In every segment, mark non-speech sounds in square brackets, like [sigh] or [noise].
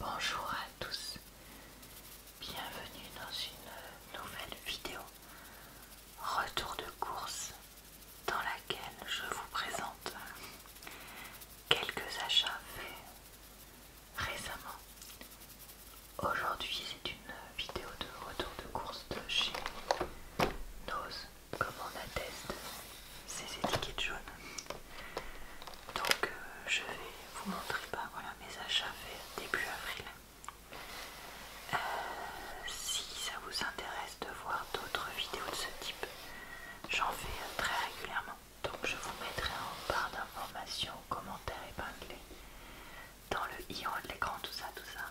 Bonjour à tous, bienvenue dans une nouvelle vidéo retour de course dans laquelle je vous présente quelques achats faits récemment. Aujourd'hui c'est une vidéo de retour de course de chez Nose comme on atteste ces étiquettes jaunes. Donc euh, je vais vous montrer pas bah, voilà, mes achats faits début avril. Euh, si ça vous intéresse de voir d'autres vidéos de ce type, j'en fais euh, très régulièrement. Donc je vous mettrai en barre d'informations, commentaires épinglés dans le i en de l'écran, tout ça, tout ça,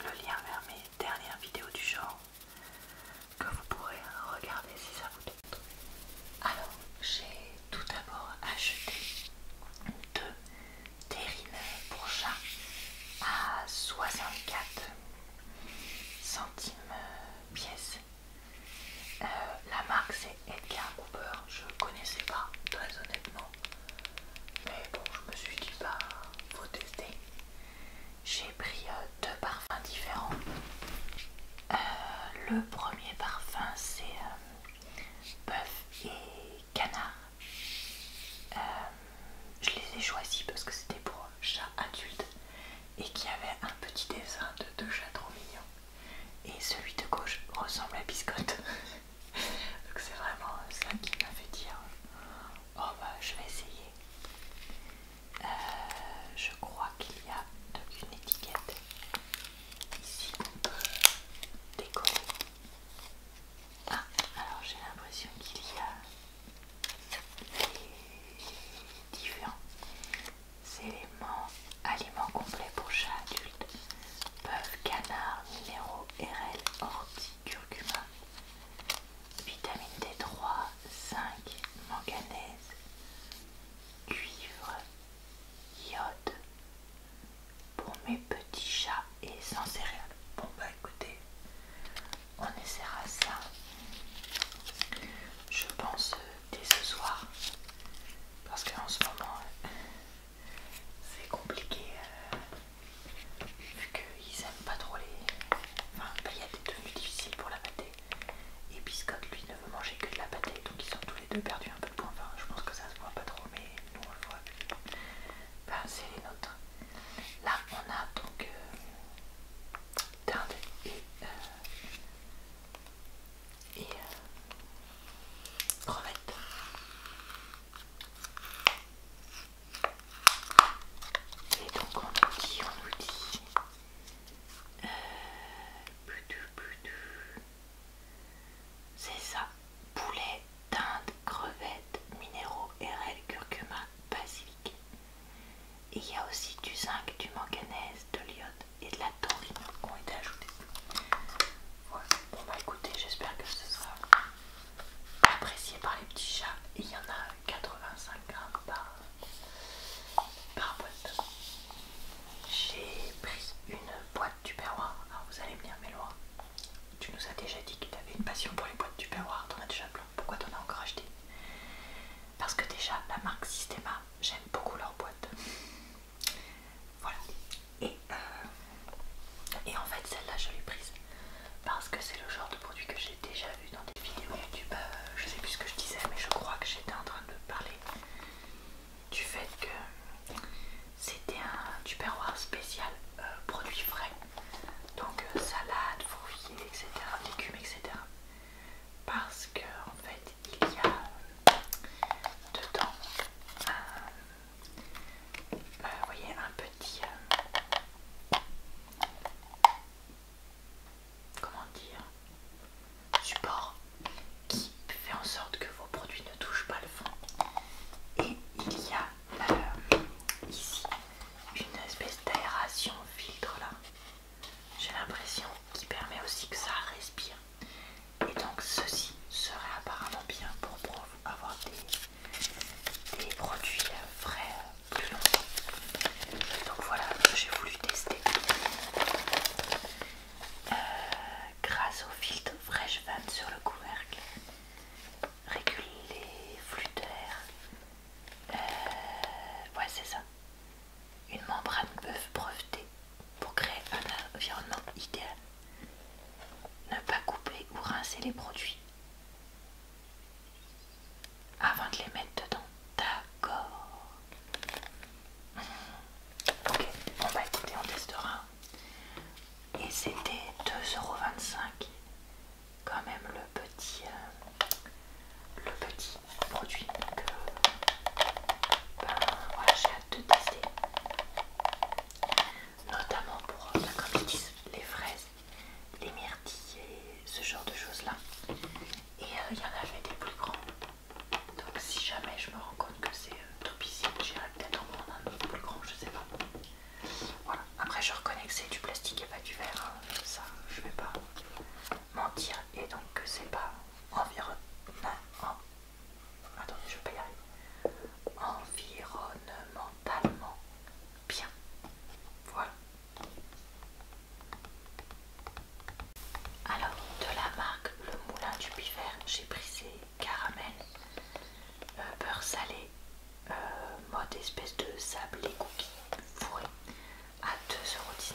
le lien vers mes dernières vidéos du genre que vous pourrez regarder si ça vous tente. Alors, j'ai tout d'abord acheté deux terrines pour chat à 64 centimes pièce. Euh, la marque c'est Edgar Cooper, je connaissais pas très honnêtement, mais bon, je me suis dit bah faut tester. J'ai pris euh, deux parfums différents euh, le premier parfum c'est euh, bœuf et canard. Euh, je les ai choisis parce que c'était pour chat adulte et qui avait un petit dessin de deux chats trop mignons. Et celui de gauche ressemble à biscotte. [laughs] Donc c'est vraiment ça qui m'a fait dire oh bah je vais essayer. Euh, je crois qu'il y a donc une étiquette ici décorée. Ah, alors j'ai l'impression qu'il y a les différents éléments aliments complets pour chat adulte bœuf, canard, minéraux, RL, ortie, curcuma, vitamine D3, 5, manganèse, cuivre, iode pour mes petits chats et sans céréales. Bon bah écoutez, on essaiera ça. Je pense euh, dès ce soir parce qu'en ce moment euh, c'est compliqué euh, vu qu'ils aiment pas trop les. Enfin, il y a des tenues difficiles pour la mater. Et Biscotte, lui, ne veut manger que de la pâtée, donc ils sont tous les deux perdus un peu de point. Enfin, je pense que ça se voit pas trop, mais nous on le voit. c'est les nôtres. Là, on a donc euh, et, euh, euh, crevette. Et donc on nous on nous dit euh, C'est ça. Poulet, dinde, crevettes, minéraux, RL, curcuma, basilic. Et il y a aussi du zinc, du manganèse, de l'iode et de la taurine qui ont été ajoutés. Voilà. Bon bah écoutez, j'espère que ce sera apprécié par les petits chats. il y en a 85 grammes par par boîte. J'ai pris une boîte du perroir. vous allez me dire, mais tu nous as déjà dit que tu avais une passion pour les boîtes du perroir, t'en as déjà plein. Pourquoi t'en as encore acheté Parce que déjà, la marque Systema, j'aime beaucoup leur boîtes. Voilà. Et, euh, et en fait, celle-là, je l'ai prise parce que c'est le genre de produit que j'ai déjà vu dans des vidéos YouTube. Euh, je sais plus ce que je disais, mais je crois que j'étais en train de parler du fait que c'était un tupperware spécial euh, produit frais donc euh, salade, fourvier, etc légumes etc parce que en fait il y a euh, dedans un, voyez, un petit comment dire, support qui fait en sorte que vos produits ne touchent pas le fond. Et il y a euh, ici une espèce d'aération filtre là, j'ai l'impression, qui permet aussi que ça respire. Et donc ceci serait apparemment bien pour, avoir des, des produits euh, frais euh, plus longtemps. Donc voilà, j'ai voulu tester. Euh, grâce au filtre fraîche Van sur le couvercle, régule les flux d'air. Euh, ouais, c'est ça. Une membrane bœuf breveter pour créer un environnement idéal. Ne pas couper ou rincer les produits avant de les mettre dedans. D'accord. Ok, on va écoutez, on testera. Et c'était 2,25€. Quand même le petit, euh, le petit produit que ben, j'ai hâte de tester. Notamment pour, la euh, ben, comme les fraises, les myrtilles et ce genre de choses là. Et euh, il y en avait des plus grands. Donc si jamais je me rends compte que c'est euh, trop topissime, j'irai peut-être en prendre un nouveau plus grand, je sais pas. Voilà, après je reconnais que c'est du plastique et pas du verre, hein. ça je vais pas mentir et donc que c'est pas je Environnementalement bien. Voilà. Alors, de la marque Le Moulin du Pivert, j'ai pris ces caramels euh, beurre salé, euh, mode espèce de sablé cookies fourré à 2,19€.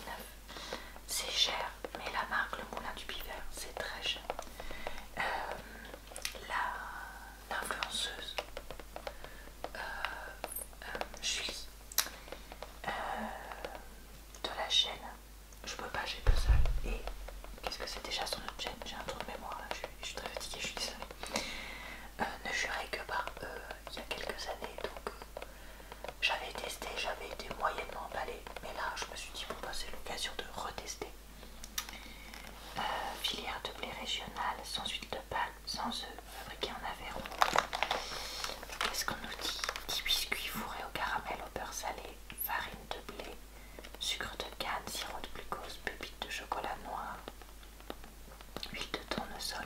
C'est cher, mais la marque Le Moulin du Pivert, c'est très cher. Euh, la L'influenceuse de la chaîne je peux pas, j'ai pas ça, Et qu'est-ce que c'est déjà sur notre chaîne J'ai un trou de mémoire là, je, suis très fatiguée, je suis désolée. Euh, ne jurez que par eux il y a quelques années, donc euh, j'avais testé, j'avais été moyennement emballée, mais là je me suis dit, bon, bah, c'est l'occasion de retester. Euh, filière de blé régional, sans huile de palme, sans œufs, fabriqué en Aveyron. Qu'est-ce qu'on nous dit 10 biscuits fourrés au caramel, au beurre salé, farine de blé, sucre de canne, sirop de glucose, pépites de chocolat noir, huile de tournesol,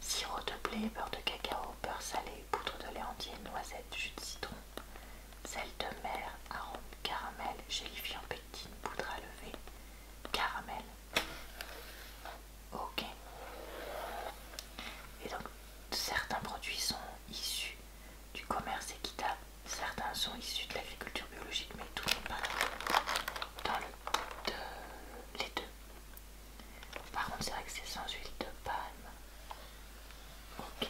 sirop de blé, beurre de cacao, beurre salé, poudre de lait entier, noisette, jus de citron, sel de mer, arôme, caramel, gélifiant, pectine, poudre à lever, caramel. Ok. Et donc certains produits sont issus du commerce équitable, certains sont issus de l'agriculture biologique, mais tout n'est pas dans le, les deux. Par contre, c'est vrai que c'est sans huile de palme. Ok,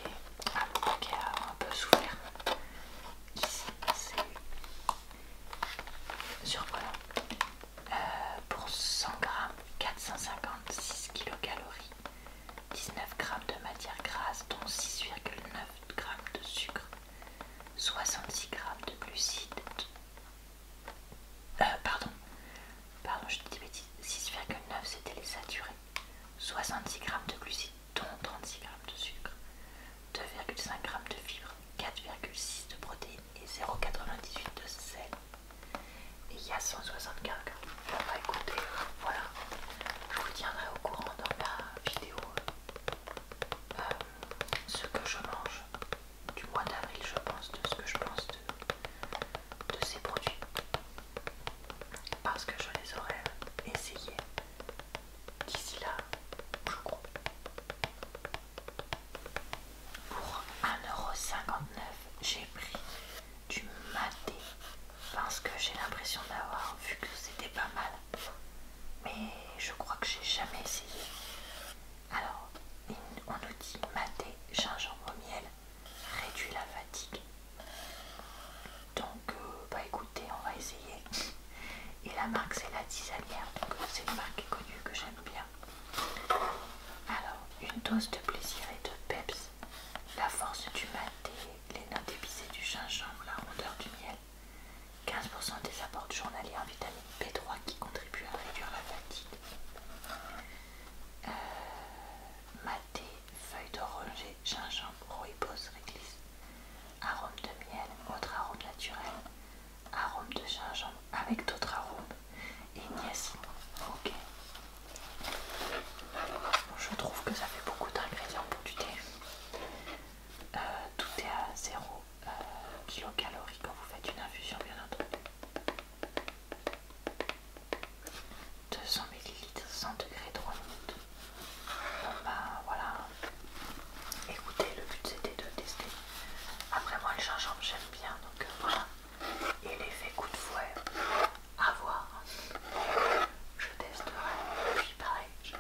ok, ah, un peu souffert. Ici, c'est surprenant. Euh, pour 100 grammes, 456 kcal 19 g de matière grasse, dont 6,9 g de sucre, 66 g de glucides, euh, pardon, pardon, je dis 6,9 c'était les saturés, 66 g de glucides, dont 36 g de sucre, 2,5 g de fibres, 4,6 de protéines et 0,98 de sel. Et il y a soixante Bon, bah, bah, écoutez, voilà. Je vous tiendrai au courant dans la vidéo euh, ce que je mange du mois d'avril, je pense, de ce que je pense de, ces produits. Parce que je les aurais essayés d'ici là, je crois. Pour 1,59€, j'ai pris du maté parce que j'ai l'impression d'avoir vu que c'était pas mal. Mais je crois que j'ai jamais essayé. Alors, on nous dit maté, gingembre au miel, réduit la fatigue. Donc, euh, bah écoutez, on va essayer. Et la marque, c'est la tisanière. Donc, c'est une marque connue que j'aime bien. Alors, une dose de plaisir et de peps la force du maté, les notes épicées du gingembre, la rondeur du miel. 15% des apports journaliers en vitamine B3 qui contribuent à réduire la fatigue. Euh, maté, feuilles d'oranger, gingembre, rooibos, réglisse, arôme de miel, autre arôme naturel, arôme de gingembre avec d'autres arômes Ignace. Ok. Je trouve que ça fait beaucoup d'ingrédients pour du thé. Euh, tout est à 0 euh, kcal quand vous faites une infusion, bien entendu. 200 ml, 100 degrés, 3 minutes. bah voilà. Écoutez, le but c'était de tester. Après moi le gingembre j'aime bien donc euh, voilà. Et l'effet coup de fouet, à voir. Je testerai, puis pareil, je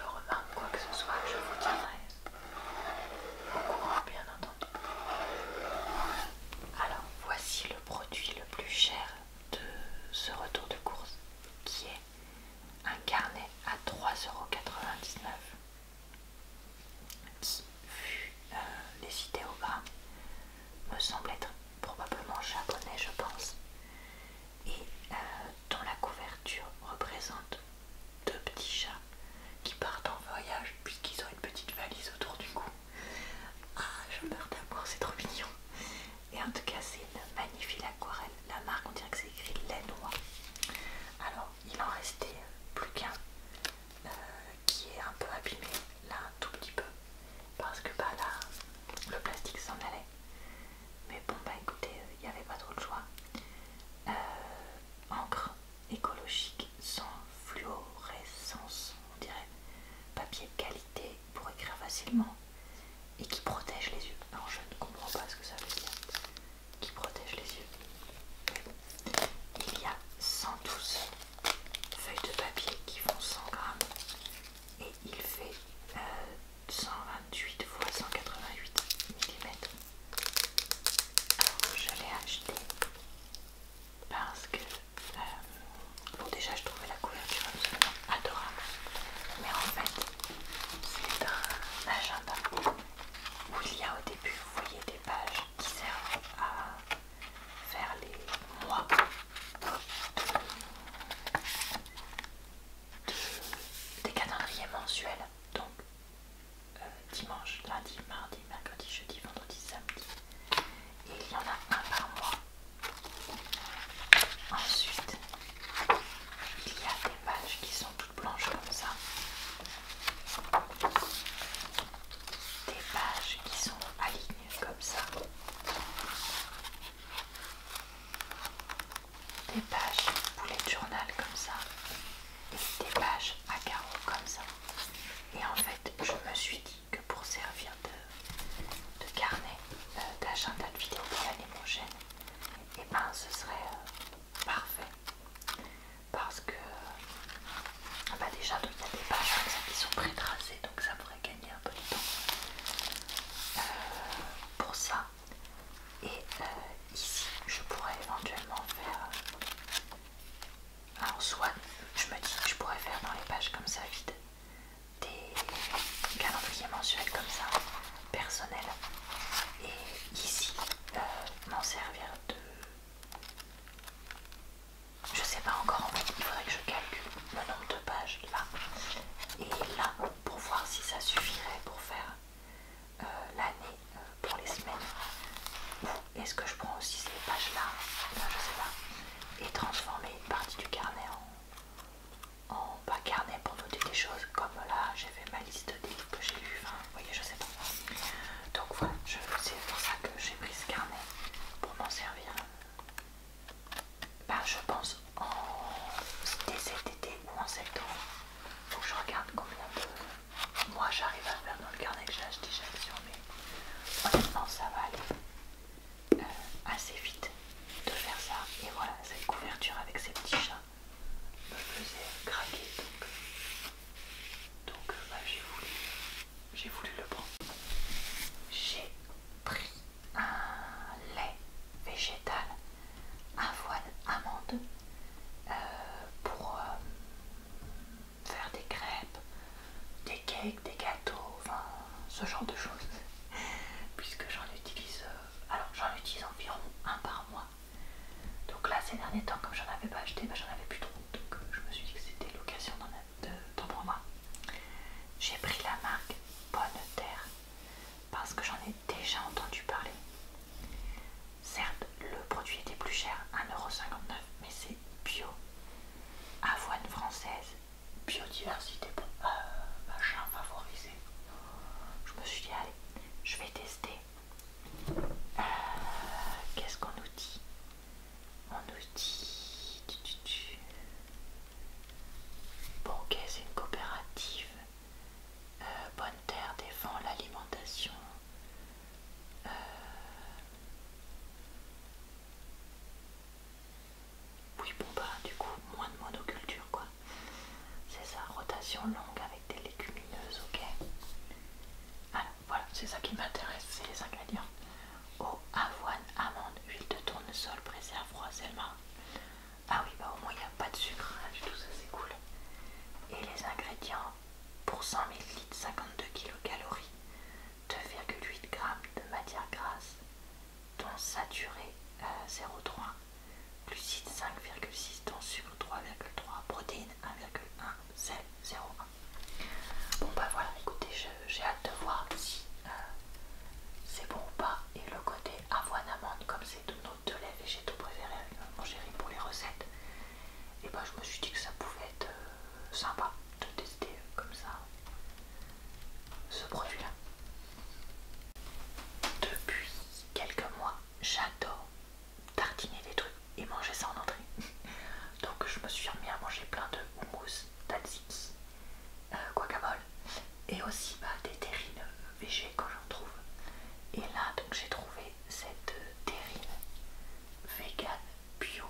remarque quoi que ce soit, je vous tiendrai au courant, bien entendu. Alors, voici le produit le plus cher de ce retour de course qui est un carnet à 3,99€ vu idées au bas me semble être probablement japonais, je pense, et dans euh, dont la couverture représente deux petits chats qui partent en voyage puisqu'ils ont une petite valise autour du cou. Ah, je meurs d'amour, c'est trop mignon! Et en tout cas, c'est une magnifique aquarelle. La marque, on dirait que c'est écrit noix Alors, il en restait plus qu'un. Euh, qui est un peu abîmé là un tout petit peu parce que bah là le plastique s'en allait mais bon bah écoutez il n'y avait pas trop de choix euh, encre écologique sans fluorescence on dirait papier qualité pour écrire facilement et qui protège les yeux non, je ne comprends pas ce que ça veut dire qui protège les yeux il y a 112 feuilles de papier qui font 100 grammes et il fait 128 x 188 mm. Alors je l'ai acheté parce que euh, bon déjà je trouvais la couverture absolument adorable mais en fait c'est un agenda où il y a au début vous voyez des pages qui servent à faire les mois des calendriers mensuels. Donc euh, dimanche, lundi, mardi, mercredi, jeudi, vendredi, samedi. Et il y en a un par mois. Ensuite, il y a des pages qui sont toutes blanches comme ça. Des pages qui sont alignées comme ça. Des pages poulet de journal comme ça. des pages à carreaux comme ça. Et en fait, je me suis dit que pour servir de, carnet, euh, d'agenda de vidéo pour l'année prochaine, et eh ben ce serait euh, parfait. Parce que, euh, bah, déjà, il y a des pages comme ça qui sont pré-tracées, donc ça gagner un peu de temps euh, pour ça. Et euh, ici, je pourrais éventuellement faire. Alors, soit je me dis que je pourrais faire dans les pages comme ça vides des calendriers mensuels comme ça, personnels, et ici euh, m'en servir de je sais pas encore en fait, il faudrait que je calcule le nombre de pages là et là pour voir si ça suffirait pour faire euh, l'année euh, pour les semaines est-ce que je prends aussi ces pages là, je sais pas et transformer une partie du carnet en, en pas carnet pour noter des choses comme là j'ai fait ma liste des livres que j'ai lus enfin vous voyez je sais pas donc voilà c'est pour ça que j'ai pris ce carnet pour m'en servir bah, je pense en c'était cet été ou en septembre. Faut que je regarde combien de moi j'arrive à faire dans le carnet que j'ai acheté mais honnêtement ça va aller euh, assez vite de faire ça. Et voilà, cette couverture avec ces petits chats me faisait craquer donc, donc euh, bah, j'ai voulu j'ai voulu le prendre. J'ai pris un lait végétal, voile amande, euh, pour euh, faire des crêpes, des cakes, des gâteaux, enfin ce genre de choses. [laughs] Puisque j'en utilise, euh, alors j'en utilise environ un par mois. Donc là ces derniers temps, comme j'en avais pas acheté, ben j'en avais plus trop. Donc je me suis dit que c'était l'occasion d'en acheter ton pour moi J'ai pris la marque Bonne Terre parce que j'en ai déjà entendu parler. Certes, le produit était plus cher, 1,59€, mais c'est bio. Avoine française, biodiversité, euh, machin favorisé. Je me suis dit, allez, je vais tester. Euh, qu'est-ce qu'on nous dit on nous dit... Bon, ok, c'est une coopérative. Euh, bonne Terre défend l'alimentation. Euh, oui, bon, bah, du coup, moins de monoculture, quoi. C'est ça, rotation longue avec des légumineuses, ok. Alors, voilà, c'est ça qui m'intéresse, c'est les ingrédients eau, avoine, amande, huile de tournesol, préserve, Selma Ah oui, bah, au moins il n'y a pas de sucre du tout, ça c'est cool. Et les ingrédients pour 100 ml, 52 kcal, 2,8 g de matière grasse, dont saturé 0,3, euh, glucides 5,6, dont sucre 3,3, protéines 1,1, sel 0,1. Bon bah voilà, écoutez, je euh, j'ai hâte de voir si euh, c'est bon ou pas. Et le côté avoine amande, comme c'est nos deux et j'ai tout préféré. mon chéri pour les recettes, et eh ben, je me suis dit que ça pouvait être euh, sympa de tester comme ça ce produit-là. Depuis quelques mois, j'adore tartiner des trucs et manger ça en entrée. [laughs] Donc je me suis remis à manger plein de houmous, tzatziki, euh, et aussi bah, des terrines végé quand j'en trouve. Et là, donc j'ai trouvé cette terrine vegan bio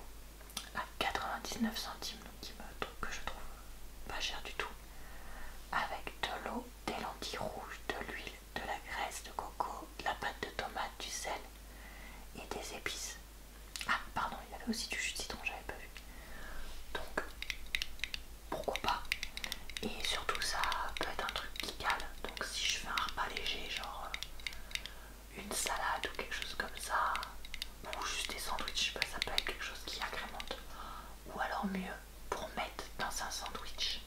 à 99 centimes, donc, qui me, que je trouve pas cher du tout, avec de l'eau, des lentilles rouges, de l'huile, de la graisse de coco, de la pâte de tomate, du sel et des épices. Ah, pardon, il y avait aussi du jus de citron, j'avais pas vu. Donc, pourquoi pas. Et surtout, ça peut être un truc qui cale. Donc, si je fais un repas léger, genre euh, une salade ou quelque chose comme ça, ou juste des sandwichs, je bah, ça peut être quelque chose qui agrémente. Ou alors, mieux, pour mettre dans un sandwich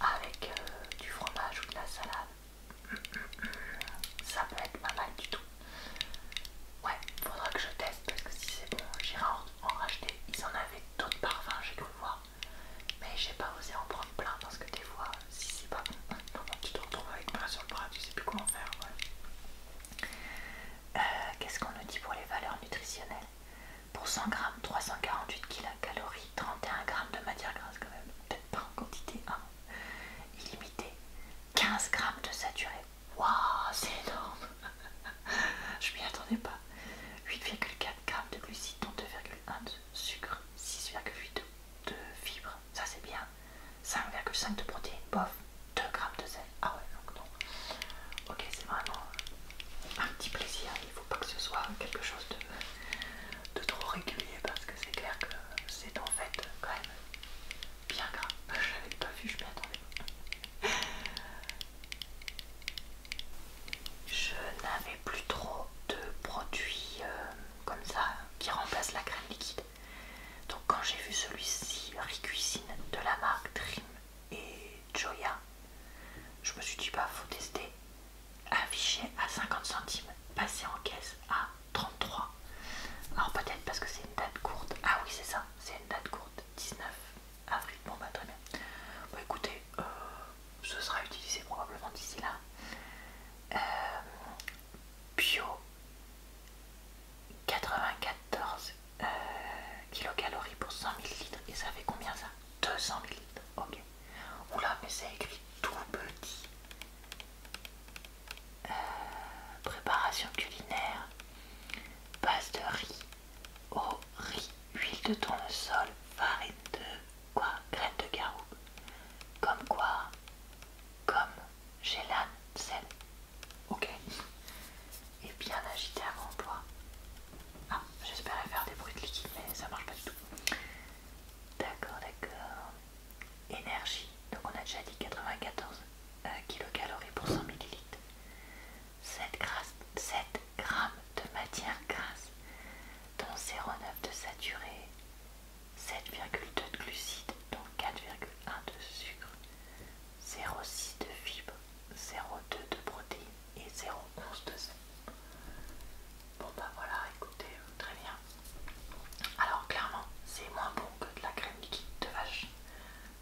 avec euh, du fromage ou de la salade. Mm, mm, mm. Ça peut être pas mal du tout. Ouais, faudra que je teste parce que si c'est bon, j'irai en, racheter. Ils en avaient d'autres parfums, j'ai le voir. Mais j'ai pas osé en prendre plein parce que des fois, si c'est pas bon, [laughs] tu te retrouves avec plein sur le bras, tu sais plus comment faire. Euh, qu'est-ce qu'on nous dit pour les valeurs nutritionnelles Pour 100 g, 348 kcal, 31 grammes de matière grasse quand même. Peut-être pas en quantité, illimitée. Hein. Illimité. 15 grammes de saturé. Waouh, c'est énorme [laughs] Je m'y attendais pas. 8,4 grammes de glucides, dont 2,1 de sucre, 6,8 de, fibres, ça c'est bien. 5,5 de protéines, bof, 2 grammes de sel. Ah ouais, donc non. Ok, c'est vraiment un petit plaisir. Il faut pas que ce soit quelque chose de, de trop régulier parce que c'est clair que c'est en fait quand même bien grave, Je l'avais pas vu, je m'y attendais. Je n'avais plus trop de produits euh, comme ça qui remplacent la crème liquide. Donc quand j'ai vu celui-ci, Ricuisine, de la marque Dream et Joya, je me suis dit bah faut tester. Affiché à 50 centimes, passé en caisse à 33. Alors peut-être parce que c'est une date courte. Ah oui, c'est ça, c'est une date courte. 19 avril. Bon, bah très bien. écoutez, euh, ce sera utilisé probablement d'ici là. Euh, bio 94 euh, kilocalories pour 100 ml. Et ça fait combien ça 200 ml. Ok. Oula, mais c'est écrit tout petit. Euh, préparation culinaire, base de riz, eau, riz, huile de tournesol, farine de quoi Graines de garou, comme quoi Comme gélane, sel. Ok. Et bien agité avant emploi. Ah, j'espérais faire des bruits de liquide, mais ça marche pas du tout. D'accord, d'accord énergie, donc on a déjà dit 94 euh, kcal pour 100 ml, 7, 7 grammes de matière grasse, dont 0,9 de saturé, 7,2 de glucides, dont 4,1 de sucre, 0,6 de fibres, 0,2 de protéines et 0,11 de sel. Bon bah voilà, écoutez, euh, très bien. Alors clairement, c'est moins que de la crème liquide de vache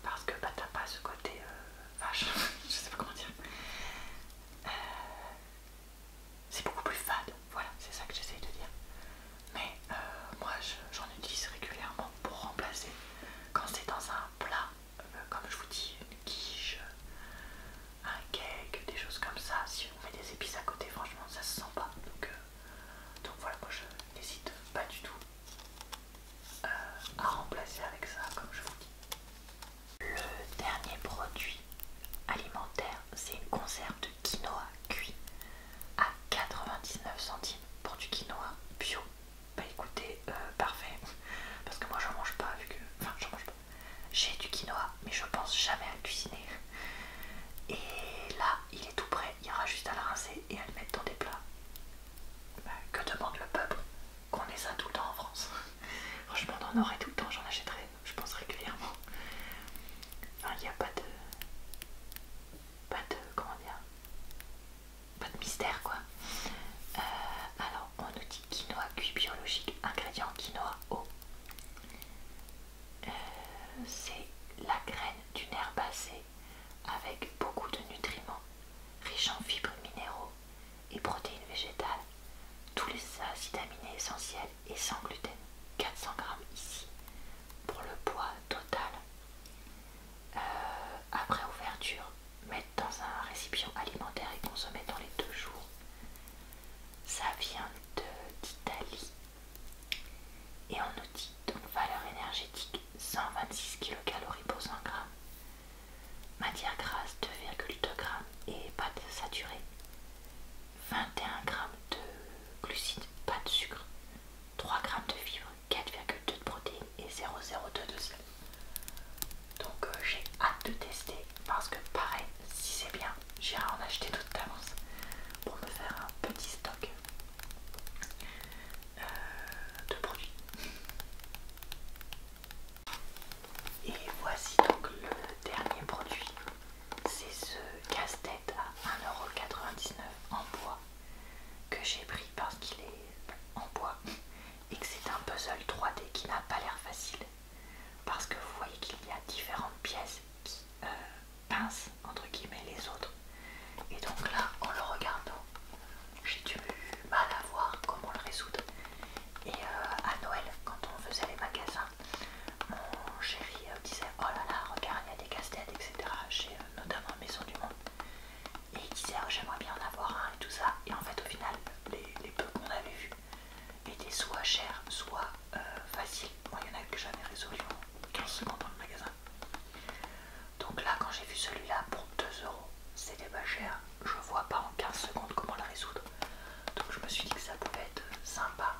parce que bah, t'as pas ce côté euh, vache, [laughs] je sais pas comment dire. Euh, c'est beaucoup plus fade, voilà, c'est ça que j'essaye de dire. Mais euh, moi j'en utilise régulièrement pour remplacer quand c'est dans un plat, comme je vous dis, une quiche, un cake, des choses comme ça. Si on met des épices à côté, franchement ça se sent pas. Donc donc voilà, moi je n'hésite pas du tout euh, à remplacer avec ça, comme je vous dis. Le dernier produit alimentaire, c'est une conserve de quinoa cuit à 99 centimes pour du quinoa bio. Bah écoutez, euh, parfait, parce que moi je mange pas, vu que. Enfin, je mange pas. J'ai du quinoa, mais je pense jamais à le cuisiner. Et là, il est tout prêt, il y aura juste à le rincer et à le mettre dans des plats. Bah, que demande le peuple Qu'on ait ça tout le temps en France. Franchement, on en aurait tout le temps, j'en achèterais, je pense régulièrement. Il n'y a pas de. Pas de. Comment dire Pas de mystère quoi. Euh, alors, on nous dit quinoa cuit biologique, ingrédient quinoa eau. Euh, c'est la graine d'une herbacée avec beaucoup de nutriments, riches en fibres minéraux et protéines végétales, tous les acides aminés essentiels et sans gluten. 400 grammes ici pour le poids total. Euh, après ouverture, mettre dans un récipient alimentaire et consommer dans les deux jours. Ça vient d'Italie et on nous dit donc valeur énergétique 126 kcal pour 100 g, matière grasse 2,2 g et pas pâte saturée, 21 g de glucides, pas de sucre, 3 g de fibres, 4,2 de protéines et 0,02 de sel. Donc euh, j'ai hâte de tester parce que pareil, si c'est bien, j'irai en acheter d'autres d'avance pour me faire un petit stock. Euh, produits. Et voici donc le dernier produit, c'est ce casse-tête à 1,99€ en bois que j'ai pris parce qu'il est en bois et que c'est un puzzle 3D qui n'a pas l'air facile parce que vous voyez qu'il y a différentes pièces qui euh, pincent entre guillemets les autres. Et donc là, en le regardant, j'ai dû mal à voir comment le résoudre. Et euh, à Noël, quand on faisait les magasins, mon chéri euh, disait Oh là là, regarde, il y a des casse-têtes, etc. Chez euh, notamment Maison du Monde. Et il disait oh, J'aimerais bien en avoir un et tout ça. Et en fait, au final, les, peu qu'on a vus étaient soit chers, soit faciles. Moi, il y en a que j'avais résolu en 15 secondes dans le magasin. Donc là, quand j'ai vu celui-là pour 2 euros, c'était pas cher. Je vois pas en 15 secondes comment la résoudre. Donc je me suis dit que ça pouvait être sympa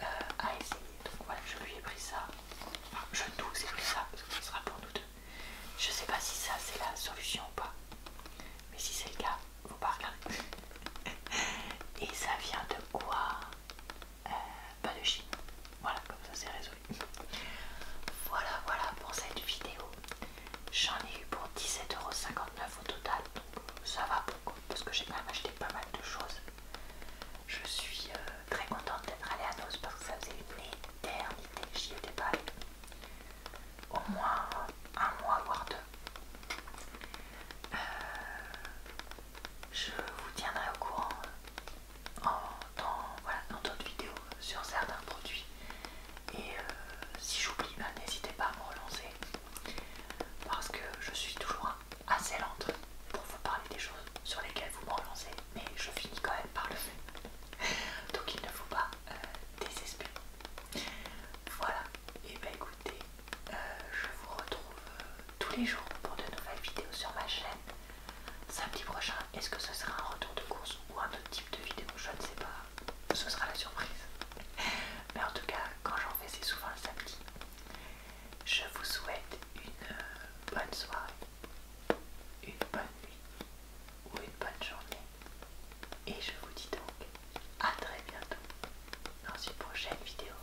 euh, à essayer. Donc voilà, je lui ai pris ça. Enfin, je doute que ça parce que ce sera pour nous deux. Je sais pas si ça c'est la solution ou pas. Mais si c'est le cas, faut pas regarder. [laughs] Et ça vient de quoi euh, pas de Chine. Voilà, comme ça c'est résolu. [laughs] Voilà, voilà pour cette vidéo. J'en ai eu pour 17,59€ au total, donc euh, ça va beaucoup parce que j'ai quand même acheté pas mal de choses. Je suis euh, très contente d'être allée à NOS parce que ça faisait une éternité j'y étais pas allée. Au moins un mois, voire deux. je vous tiendrai au courant dans d'autres vidéos sur certains produits. Et euh, si j'oublie, ben, n'hésitez pas à me relancer parce que je suis toujours assez lente pour vous parler des choses sur lesquelles vous me relancez, mais je finis quand même par le faire. [laughs] Donc il ne faut pas euh, désespérer. Voilà, et ben écoutez, euh, je vous retrouve tous les jours pour de nouvelles vidéos sur ma chaîne. Samedi prochain, est-ce que ce sera un retour de course ou un autre type de vidéo Je ne sais pas. Ce sera la surprise. Mais en tout cas, quand j'en fais, c'est souvent le samedi. Je vous souhaite une euh, bonne soirée, une bonne nuit ou une bonne journée. Et je vous dis donc à très bientôt dans une prochaine vidéo.